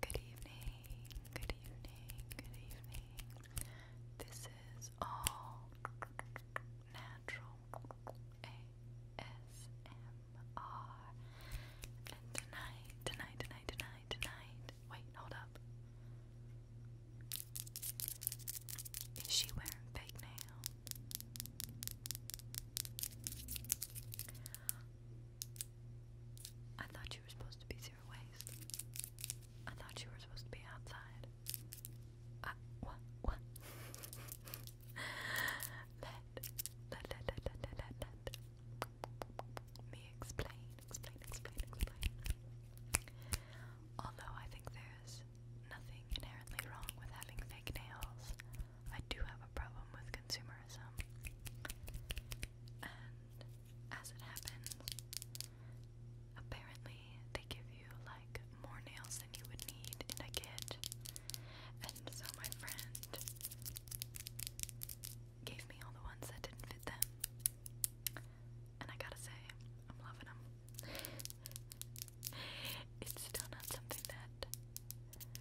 Good evening, good evening, good evening. This is all natural ASMR. And tonight, tonight, tonight, tonight, tonight. Wait, hold up. Is she wearing fake nails? I thought you were supposed to be zero waste. I thought you were supposed to be outside. Uh, let, let, let, let, let, let, me explain. Although I think there's nothing inherently wrong with having fake nails, I do have a problem with consumerism. And as it happens, apparently they give you like more nails than you would need in a kit. And so my friend gave me all the ones that didn't fit them. And I gotta say, I'm loving them. it's still not something that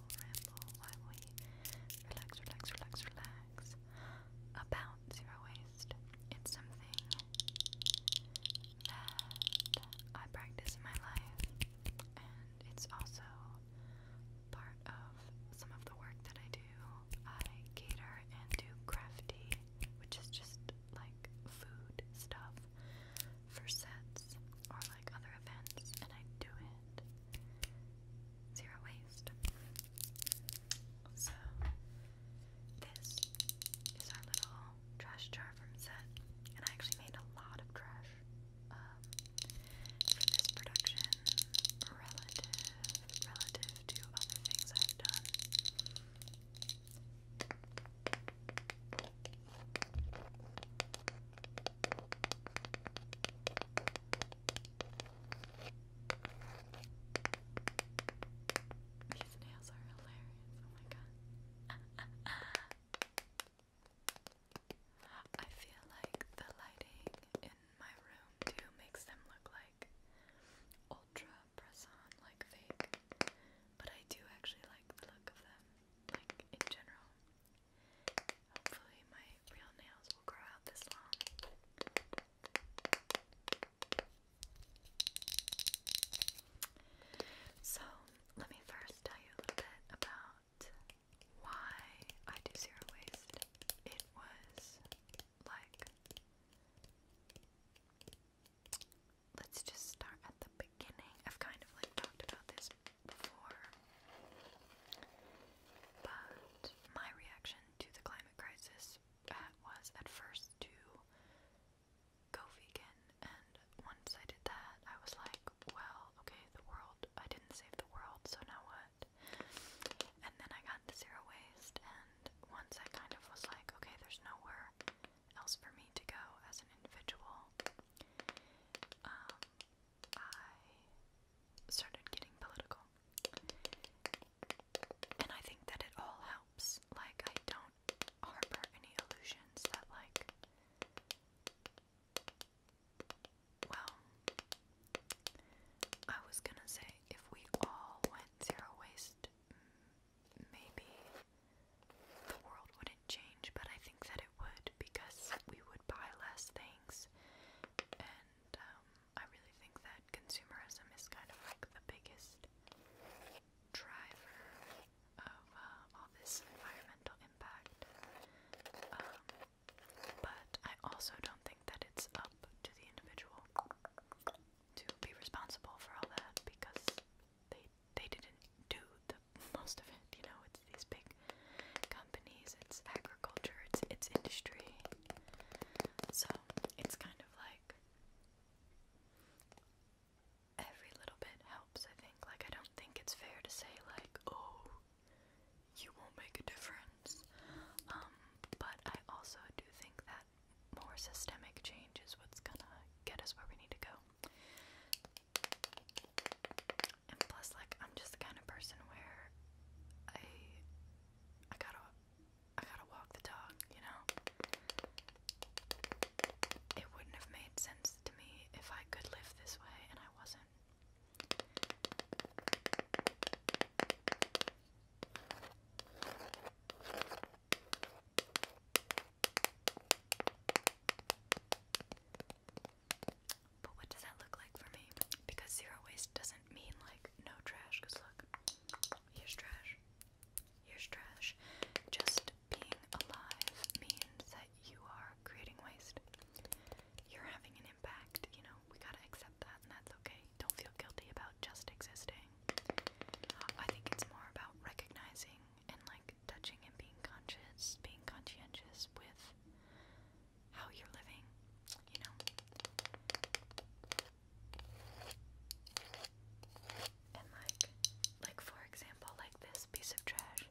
relax, relax, relax, relax about zero waste. It's something that I practice in my life, and it's also part of some of the work that I do. I cater and do crafty, which is just like food stuff for sets or like other events, and I do it zero waste. So, this is our little trash jar from set, and I actually made a lot of trash um, this production relative relative to other things I've done. These nails are hilarious. Oh my god. I feel like the lighting in my room too makes them look like ultra press on, like fake. But I do actually like the look of them, like in general. Hopefully, my real nails will grow out this long. So, let me first tell you a little bit about why I do zero waste. It was like, let's just start at the beginning. I've kind of like talked about this before. But my reaction to the climate crisis uh, was at first to go vegan, and once I did that, I was like, well, okay, the world, I didn't save the world, so now what? And then I got to zero waste, and once I kind of was like, okay, there's nowhere else for me to go as an individual. Um, I started getting political. And I think that it all helps. Like, I don't harbor any illusions that, like, well, I was gonna say if we all went zero waste, maybe the world wouldn't change, but I think that it would because we would buy less things and and um, I really think that consumerism is kind of like the biggest driver of uh, all this environmental impact. Um, but I also don't think that it's up to the individual to be responsible for all that because they they didn't do the most of it. You know, it's these big it's agriculture, it's it's industry. So it's kind of like every little bit helps, I think. Like I don't think it's fair to say like, oh, you won't make a difference. Um, but I also do think that more systemic change is what's gonna get us where we need to go. And plus, like, I'm just the kind of person where I, I gotta, I gotta walk the dog, you know? It wouldn't have made sense to me if I could live this way and I wasn't. But what does that look like for me? Because zero waste doesn't mean like no trash, because look, here's trash, here's trash. Just being alive means that you are creating waste. You're having an impact, you know, we gotta accept that, and that's okay. Don't feel guilty about just existing. I think it's more about recognizing and like touching and being conscious, being conscientious with how you're living, you know. And like like for example, like this piece of trash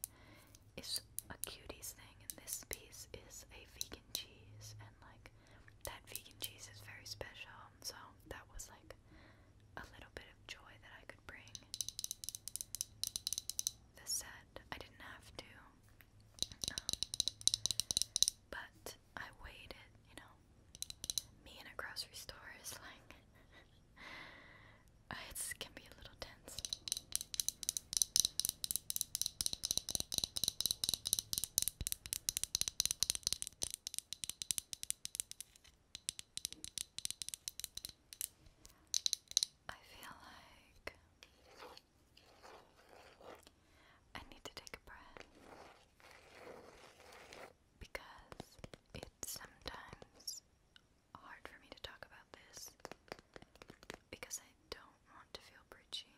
is a cuties thing and this piece is a vegan cheese and like that vegan cheese is very special. So that was like a little bit of joy that I could bring. The set I didn't have to but I waited, you know. Me in a grocery store is like it can be a little tense. I feel like I need to take a breath because it's sometimes hard for me to talk about this because I don't want to feel preachy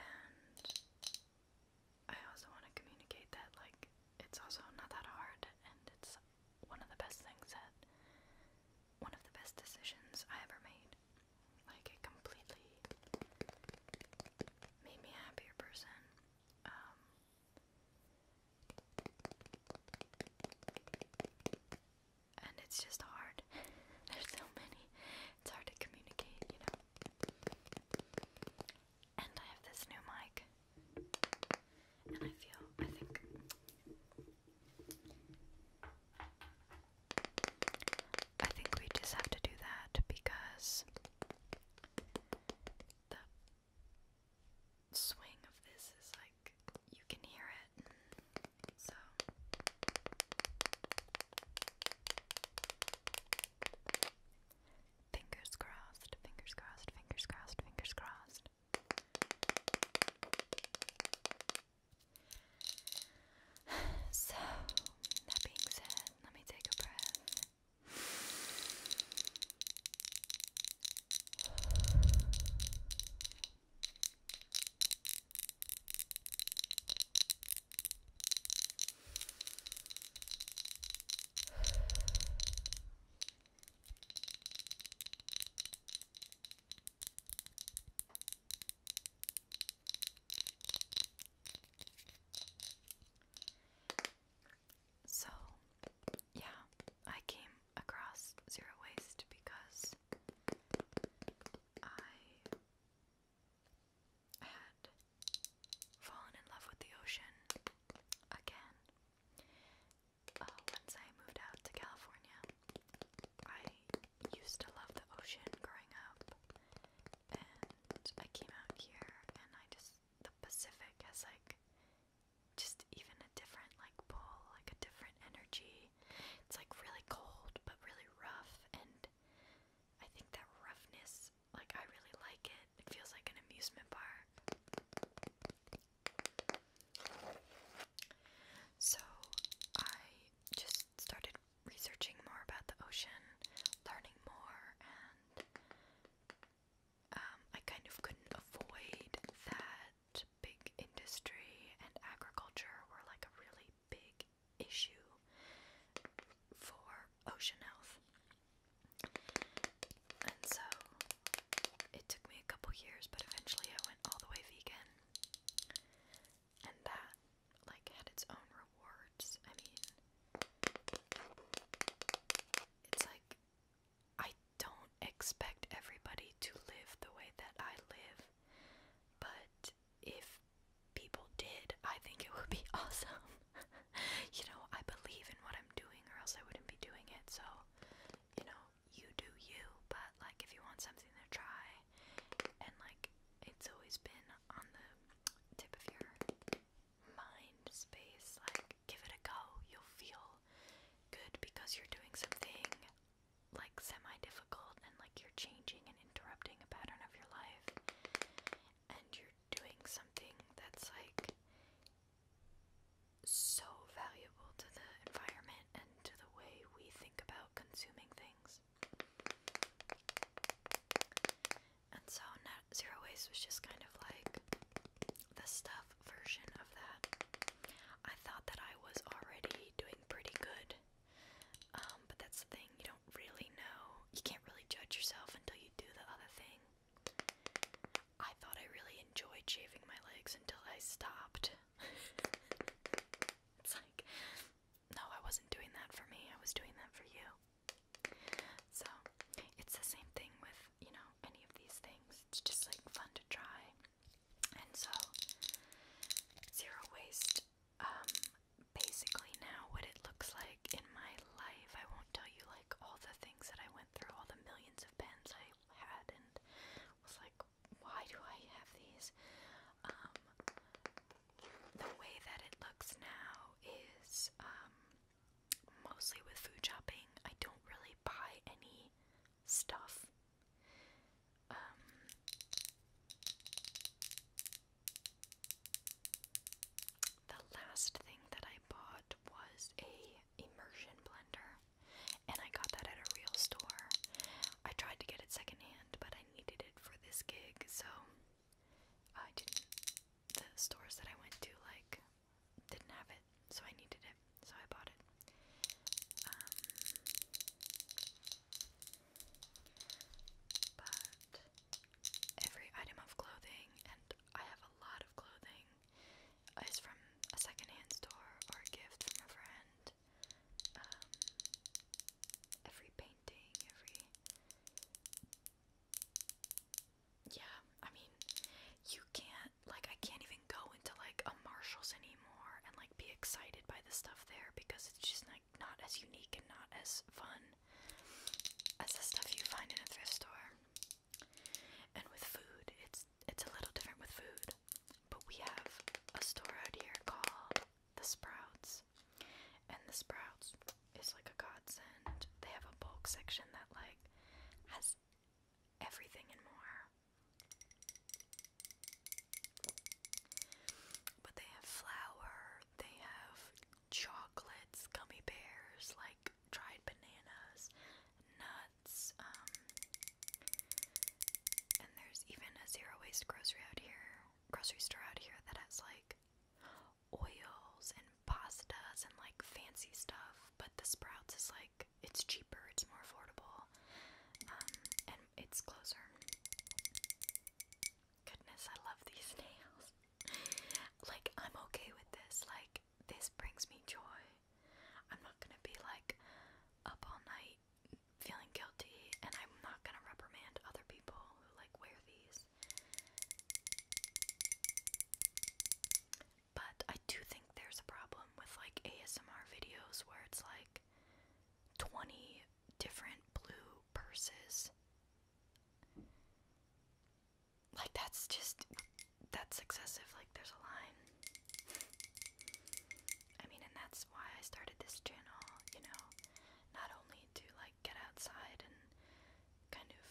and I also want to communicate that like it's also not that hard and it's one of the best things that one of the best decisions I ever made like it completely made me a happier person. Um, and it's just hard. There's so many. It's hard to communicate, you know. And I have this new mic. And I feel, I think, I think we just have to do that because the swing of this is like you can hear it. So fingers crossed, fingers crossed, fingers crossed, fingers crossed. So, that being said, let me take a breath. So, yeah, I came across Zero Waste because I had fallen in love with the ocean again uh, once I moved out to California. I used to love the ocean growing up, and I came out here, and I just the Pacific has like just even a different like pull, like a different energy. It's like really cold but really rough, and I think that roughness, like I really like it. It feels like an amusement park. So I just started researching more about the ocean, learning more, and um, I kind of couldn't avoid that big industry and agriculture were like a really big issue for ocean health. And so it took me a couple years, but eventually I went all the way vegan and that like had its own rewards. I mean, it's like I don't expect everybody to live the way that I live, but if people did, I think it would be awesome. you know, I believe in what I'm doing, or else I wouldn't be doing it. So, you know, you do you, but like if you want something to try, and like it's always been on the tip of your mind space, like give it a go. You'll feel good because you're doing something like semi difficult and like you're changing and interrupting a pattern of your life, and you're doing something that's like so valuable to the environment and to the way we think about consuming things things. And so Zero Waste was just kind of like the stuff version of that. I thought that I was already doing pretty good. Um, but that's the thing, you don't really know. You can't really judge yourself until you do the other thing. I thought I really enjoyed shaving my legs until I stopped. It's like, no, I wasn't doing that for me, I was doing that for you. So, it's the same thing with, you know, any of these things. It's just like fun to try. And so, zero waste, um, basically now what it looks like in my life, I won't tell you like all the things that I went through, all the millions of pens I had, and was like why do I have these? Um, the way that it looks now is um, mostly with food shopping. I don't really buy any stuff. Um, the last thing that I bought was a immersion blender, and I got that at a real store. I tried to get it secondhand, but I needed it for this gig, so I didn't. The stores that I went to like didn't have it, so I needed it, so I bought it. Um, but every item of clothing, and I have a lot of clothing, is from a secondhand store or a gift from a friend. Um, every painting, every. Yeah, I mean, you can't, like, I can't even go into, like, a Marshall's anymore and, like, be excited by the stuff there because it's just, like, not as unique and not as fun as the stuff you find in a thrift store. And with food, it's it's a little different with food. But we have a store out here called the Sprouts. And the Sprouts is like a godsend. They have a bulk section that like has everything and more. But they have flour, they have chocolates, gummy bears, like dried bananas, nuts, um, there's even a zero waste grocery out here, grocery store out here that has like oils and pastas and like fancy stuff, but the Sprouts is like it's cheaper, it's more affordable, um, and it's closer. Goodness, I love these nails. like, I'm okay with this. Like, this brings me joy. I'm not gonna be like up all night hate feeling guilty, and I'm not gonna reprimand other people who like wear these. But I do think there's a problem with like ASMR videos where it's like 20 different blue purses. Like, that's just, that's excessive. Like, there's a line. I mean, and that's why I started this channel, you know, not only to like get outside and kind of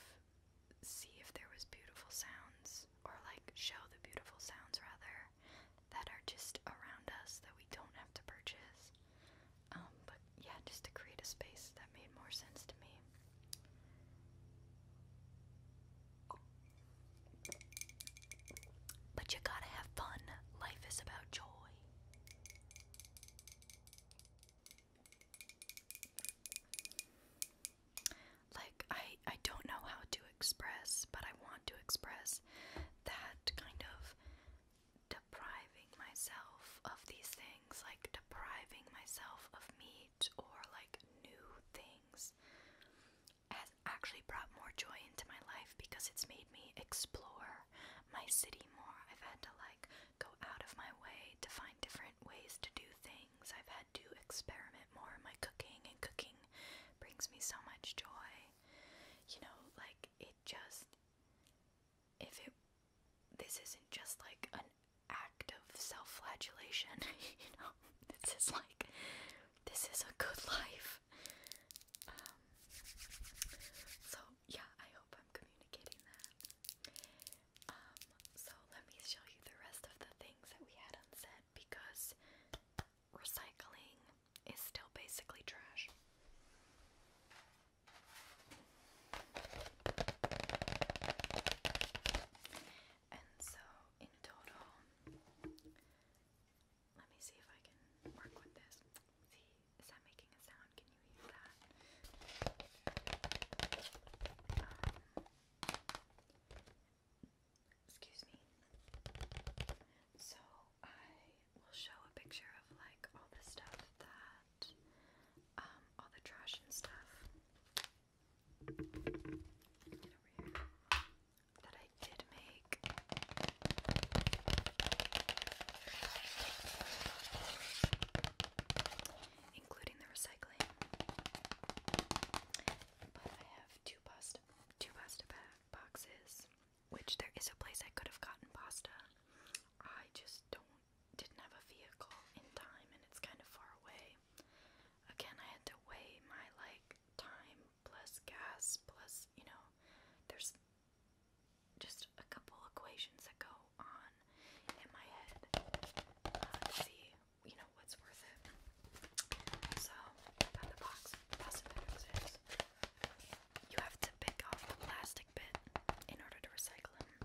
see if there was beautiful sounds or like show the beautiful sounds rather that are just around us that we don't have to purchase. Um, but yeah, just to create a space that made more sense to me. But you gotta have fun. Life is about joy. Like I I don't know how to express, but I want to express that kind of depriving myself of these things, like depriving myself of meat or like new things actually brought more joy into my life because it's made me explore my city more. I've had to like go out of my way to find different ways to do things. I've had to experiment more in my cooking, and cooking brings me so much joy. You know, like it just if it this isn't just like an act of self-flagellation, you know. This is like this is a good life. Um, so yeah, I hope I'm communicating that. Um, so let me show you the rest of the things that we had unsaid because recycling is still basically trash. And so in total, let me see if I can work with this. See, is that making a sound? Can you hear that? Um, excuse me. So I will show a picture of like all the stuff that, um, all the trash and stuff that I did make. Including the recycling. But I have two pasta two pasta boxes, which there is a place I could have gotten pasta. I just don't didn't have a vehicle in time and it's kind of far away. Again, I had to weigh my like time plus gas plus, you know, there's just a couple equations that go on in my head uh, see, you know, what's worth it. So, about the box, You have to pick off the plastic bit in order to recycle them.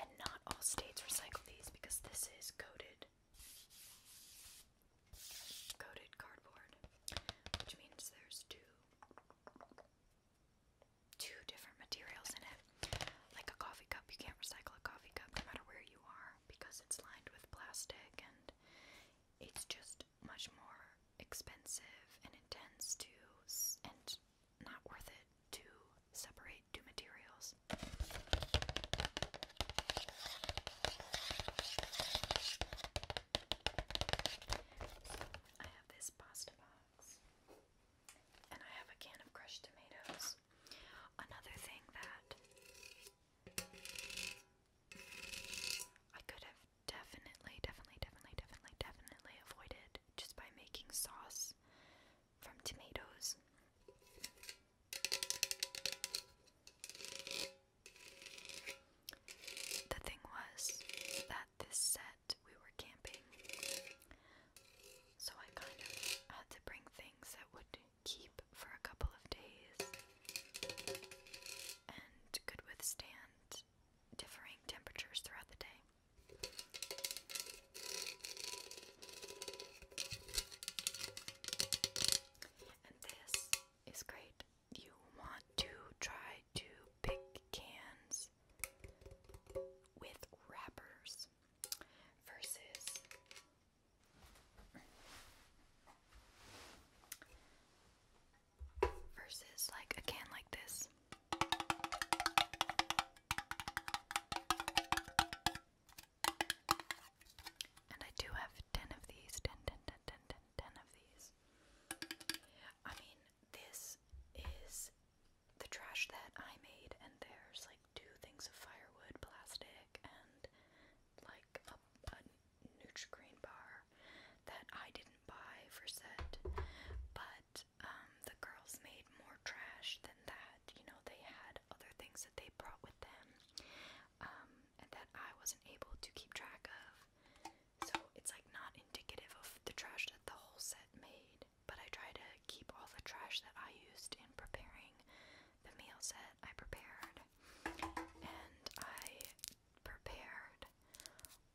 And not all states recycle these because this is coated coated cardboard, which means there's two two different materials in it. Like a coffee cup, you can't recycle a coffee cup no matter where you are because it's lined with plastic and it's just much more expensive and intense to and not worth it to separate two materials. I have this pasta box, and I have a can of crushed tomatoes. Another thing that I could have definitely, definitely, definitely, definitely, definitely avoided just by making sauce from tomatoes. The thing was that this set we were camping, so I kind of had to bring things that would keep for a couple of days and could withstand differing temperatures throughout the day. And this is great you want to try to pick cans with wrappers versus versus like a can like this. And I do have 10 of these, 10, 10 of these. I mean, this is the trash that I made, and there's like two things of firewood, plastic, and like a, a Nutrigrain bar that I didn't buy for set, but um, the girls made more trash than that. You know, they had other things that they brought with them um, and that I wasn't able to keep track of. So it's like not indicative of the trash that the whole set made. But I try to keep all the trash that I used in preparing the meal set I prepared. And I prepared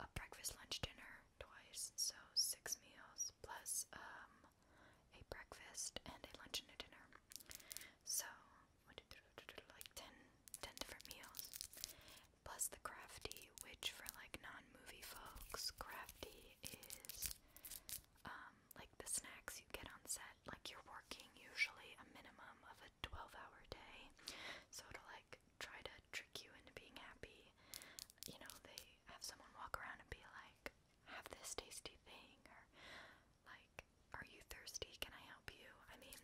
a breakfast, lunch, dinner twice. So six meals plus um, a breakfast and a lunch and a dinner. So like ten ten different meals plus the crafty, which for like non-movie folks, crafty is um, like the snacks you get on set. Like you're working usually a minimum of a 12-hour day, so it'll like try to trick you into being happy. You know, they have someone walk around and be like, "Have this tasty thing," or like, "Are you thirsty? Can I help you?" I mean,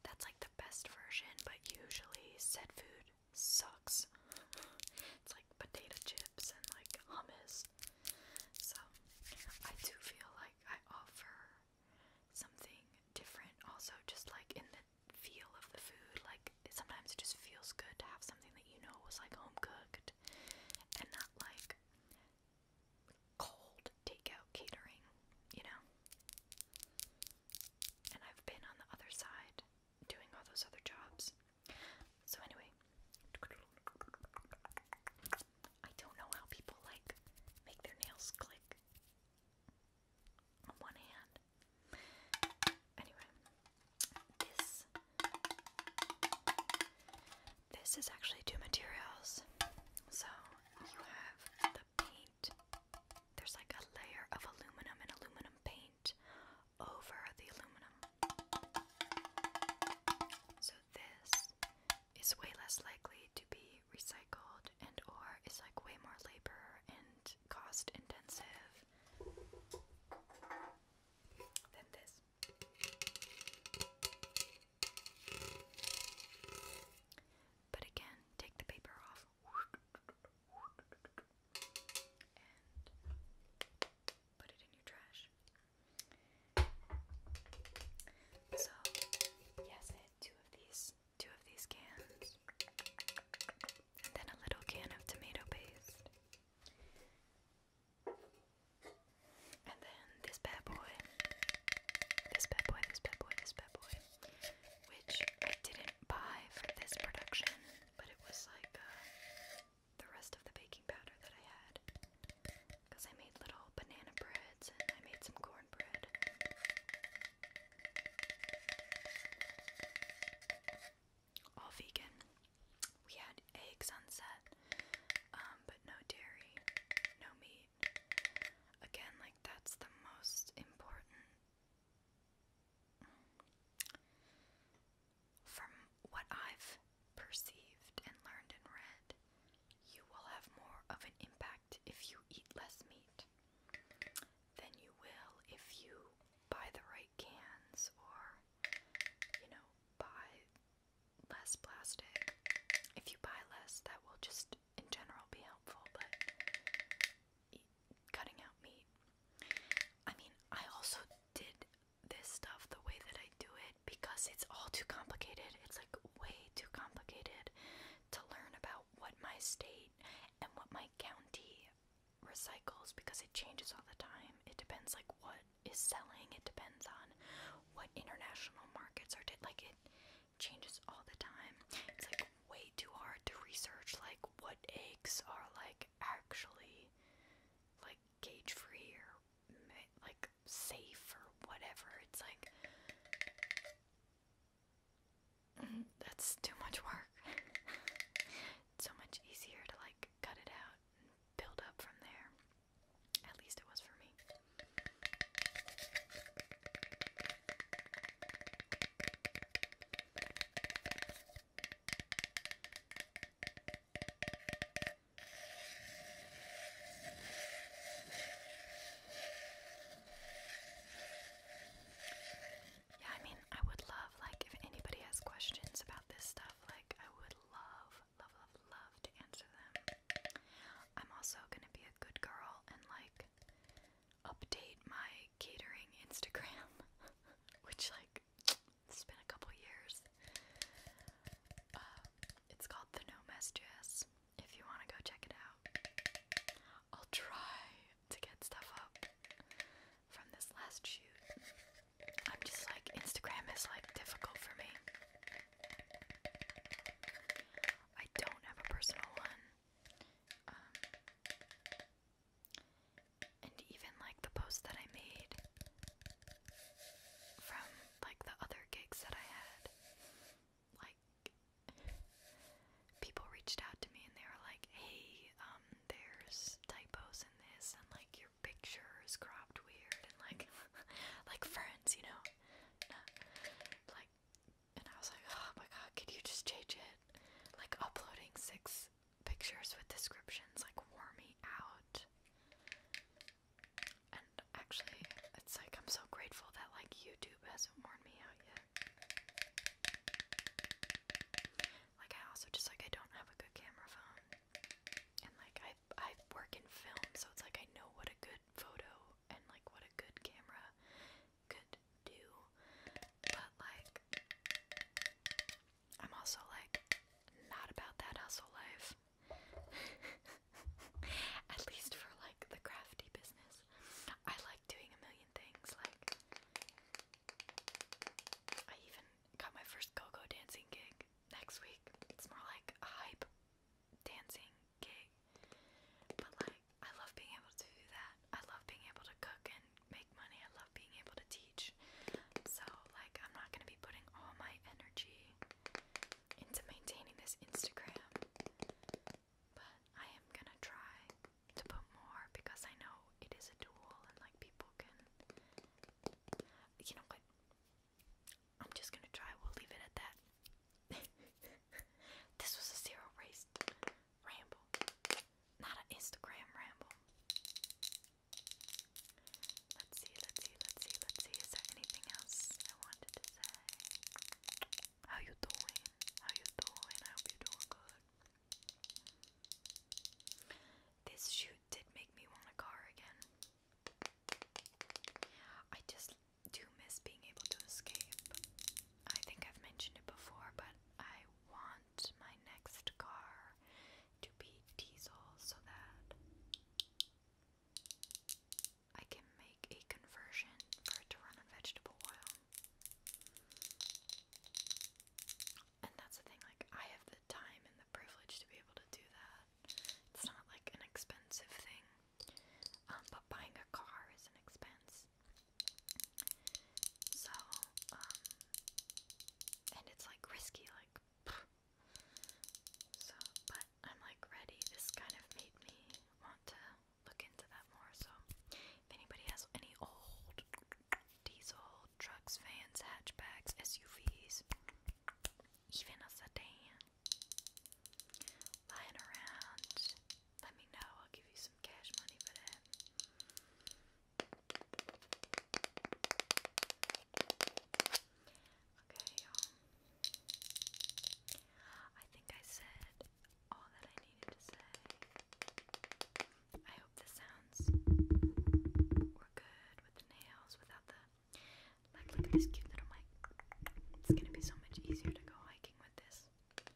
that's like the best version, but usually said food sucks. it's like potato chips and like hummus. So I do feel like I offer something different also just like in the feel of the food. Like sometimes it just feels good to have something that you know was like home cooked and not like cold takeout catering, you know? And I've been on the other side doing all those other jobs. So, anyway, I don't know how people like make their nails click on one hand. Anyway, this. This is actually two materials. So you have the paint there's like a layer of aluminum and aluminum paint over the aluminum. So this is way less likely to be recycled and or is like way more labor and cost intensive than this. But again, take the paper off. And put it in your trash. So, yes, I had two of these, two of these cans, and then a little can of tomato paste, and then this bad boy, this bad boy, this bad boy, this bad boy which I didn't buy for this production, but it was like uh, the rest of the baking powder that I had. Because I made little banana breads and I made some cornbread. All vegan. We had eggs on um, but no dairy, no meat. Again, like that's the most important. From what I've perceived and learned and read, you will have more of an impact if you eat less meat than you will if you buy the right cans or, you know, buy less plastic. If you buy less, that will just in general be helpful, but cutting out meat. I mean, I also did this stuff the way that I do it because it's all too complicated. It's like way too complicated to learn about what my state and what my county recycles because it changes all the time. It depends like what is selling. It depends on what international markets are like it changes all the time. It's like way too hard to research like what eggs are like actually like cage free or like safe or whatever. It's like mm-hmm. that's too much work. so much easier to like cut it out and build up from there. At least it was for me. Yeah, I mean, I would love, like, if anybody has questions about this stuff, like, I would love, love, love, love to answer them. I'm also gonna be a good girl and, like, update my catering Instagram, which like it's been a couple years. Uh, it's called the Nomes Jazz. If you want to go check it out, I'll try to get stuff up from this last shoot. I'm just like Instagram is like difficult for me. I don't have a personal one. Um, and even like the post that I made from like the other gigs that I had, like people reached out to me and they were like, "Hey, um, there's typos in this, and like your picture is cropped weird, and like, like friends, you know, like and I was like, oh my god, could you just change it? Like uploading six pictures with descriptions like wore me out. And actually, it's like I'm so grateful that like YouTube hasn't worn me out yet. Like I also just like I don't have a good camera phone. And like I I work in film, so it's like I know what a good photo and like what a good camera could do, but like, I'm also like, not about that hustle life. At least for like the crafty business. I like doing a million things, like, I even got my first go-go dancing gig next week. It's more like a hype dancing gig, but like I love being able to do that. I love being able to cook and make money. I love being able to teach. So, like, I'm not going to be putting all my energy into maintaining this Instagram. But I am going to try to put more because I know it is a tool and, like, people can. You know what? I'm just going to try. We'll leave it at that. this was a zero race ramble, not an Instagram ramble. Let's see, let's see, let's see, let's see. Is there anything else I wanted to say? How you doing? How you doing? I hope you're doing good. This shoot did make me want a car again. I just do miss being able to escape. I think I've mentioned it before, but I want my next car to be diesel so that I can make a conversion for it to run on vegetable oil. And that's the thing, like, I have the time and the privilege to be able to do that. It's not like an expensive thing. Um, but buying a car is an expense. So, um, and it's like risky, like, pff. so, but I'm like ready. This kind of made me want to look into that more. So, if anybody has any old diesel trucks, vans, hatchbacks, SUVs, even a sedan, lying around, let me know. I'll give you some cash money for that. Okay, y'all. I think I said all that I needed to say. I hope the sounds were good with nails without the. Like, this cute little mic. It's gonna be so much easier to go hiking with this this,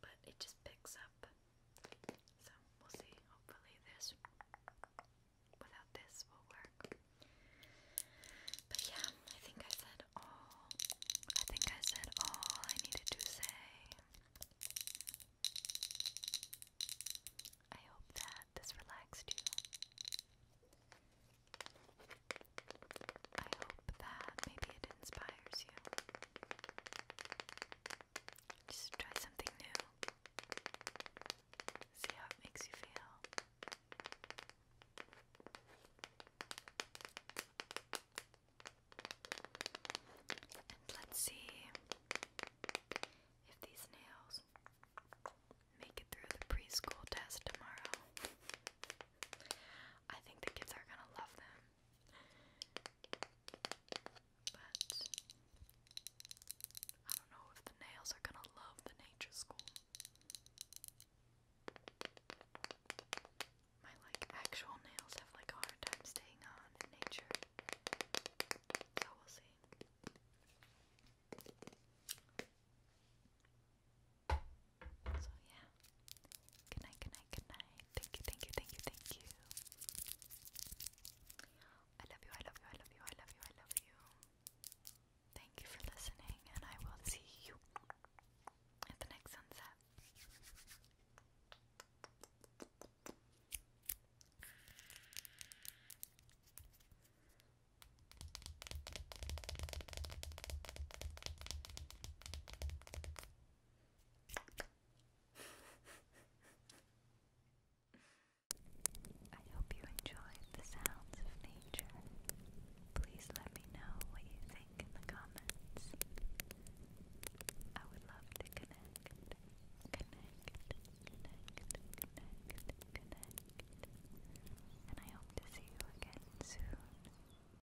but it just picks up. So we'll see. Hopefully, this without this will work. But yeah, I think I said all. I think I said all I needed to say. I hope that this relaxed you. I hope that maybe it inspires you. Just try something new. See how it makes you feel. And let's see if these nails make it through the preschool test tomorrow. I think the kids are gonna love them. But I don't know if the nails are gonna love the nature school. My like actual nails have like a hard time staying on in nature. So we'll see. So yeah. Good night, good night, good night. Thank you, thank you, thank you, thank you. I love you, I love you, I love you, I love you, I love you. Thank you for listening and I will see you at the next sunset. I hope you enjoyed the sounds of nature. Please let me know what you think in the comments. I would love to connect, connect, connect, connect, connect. And I hope to see you again soon.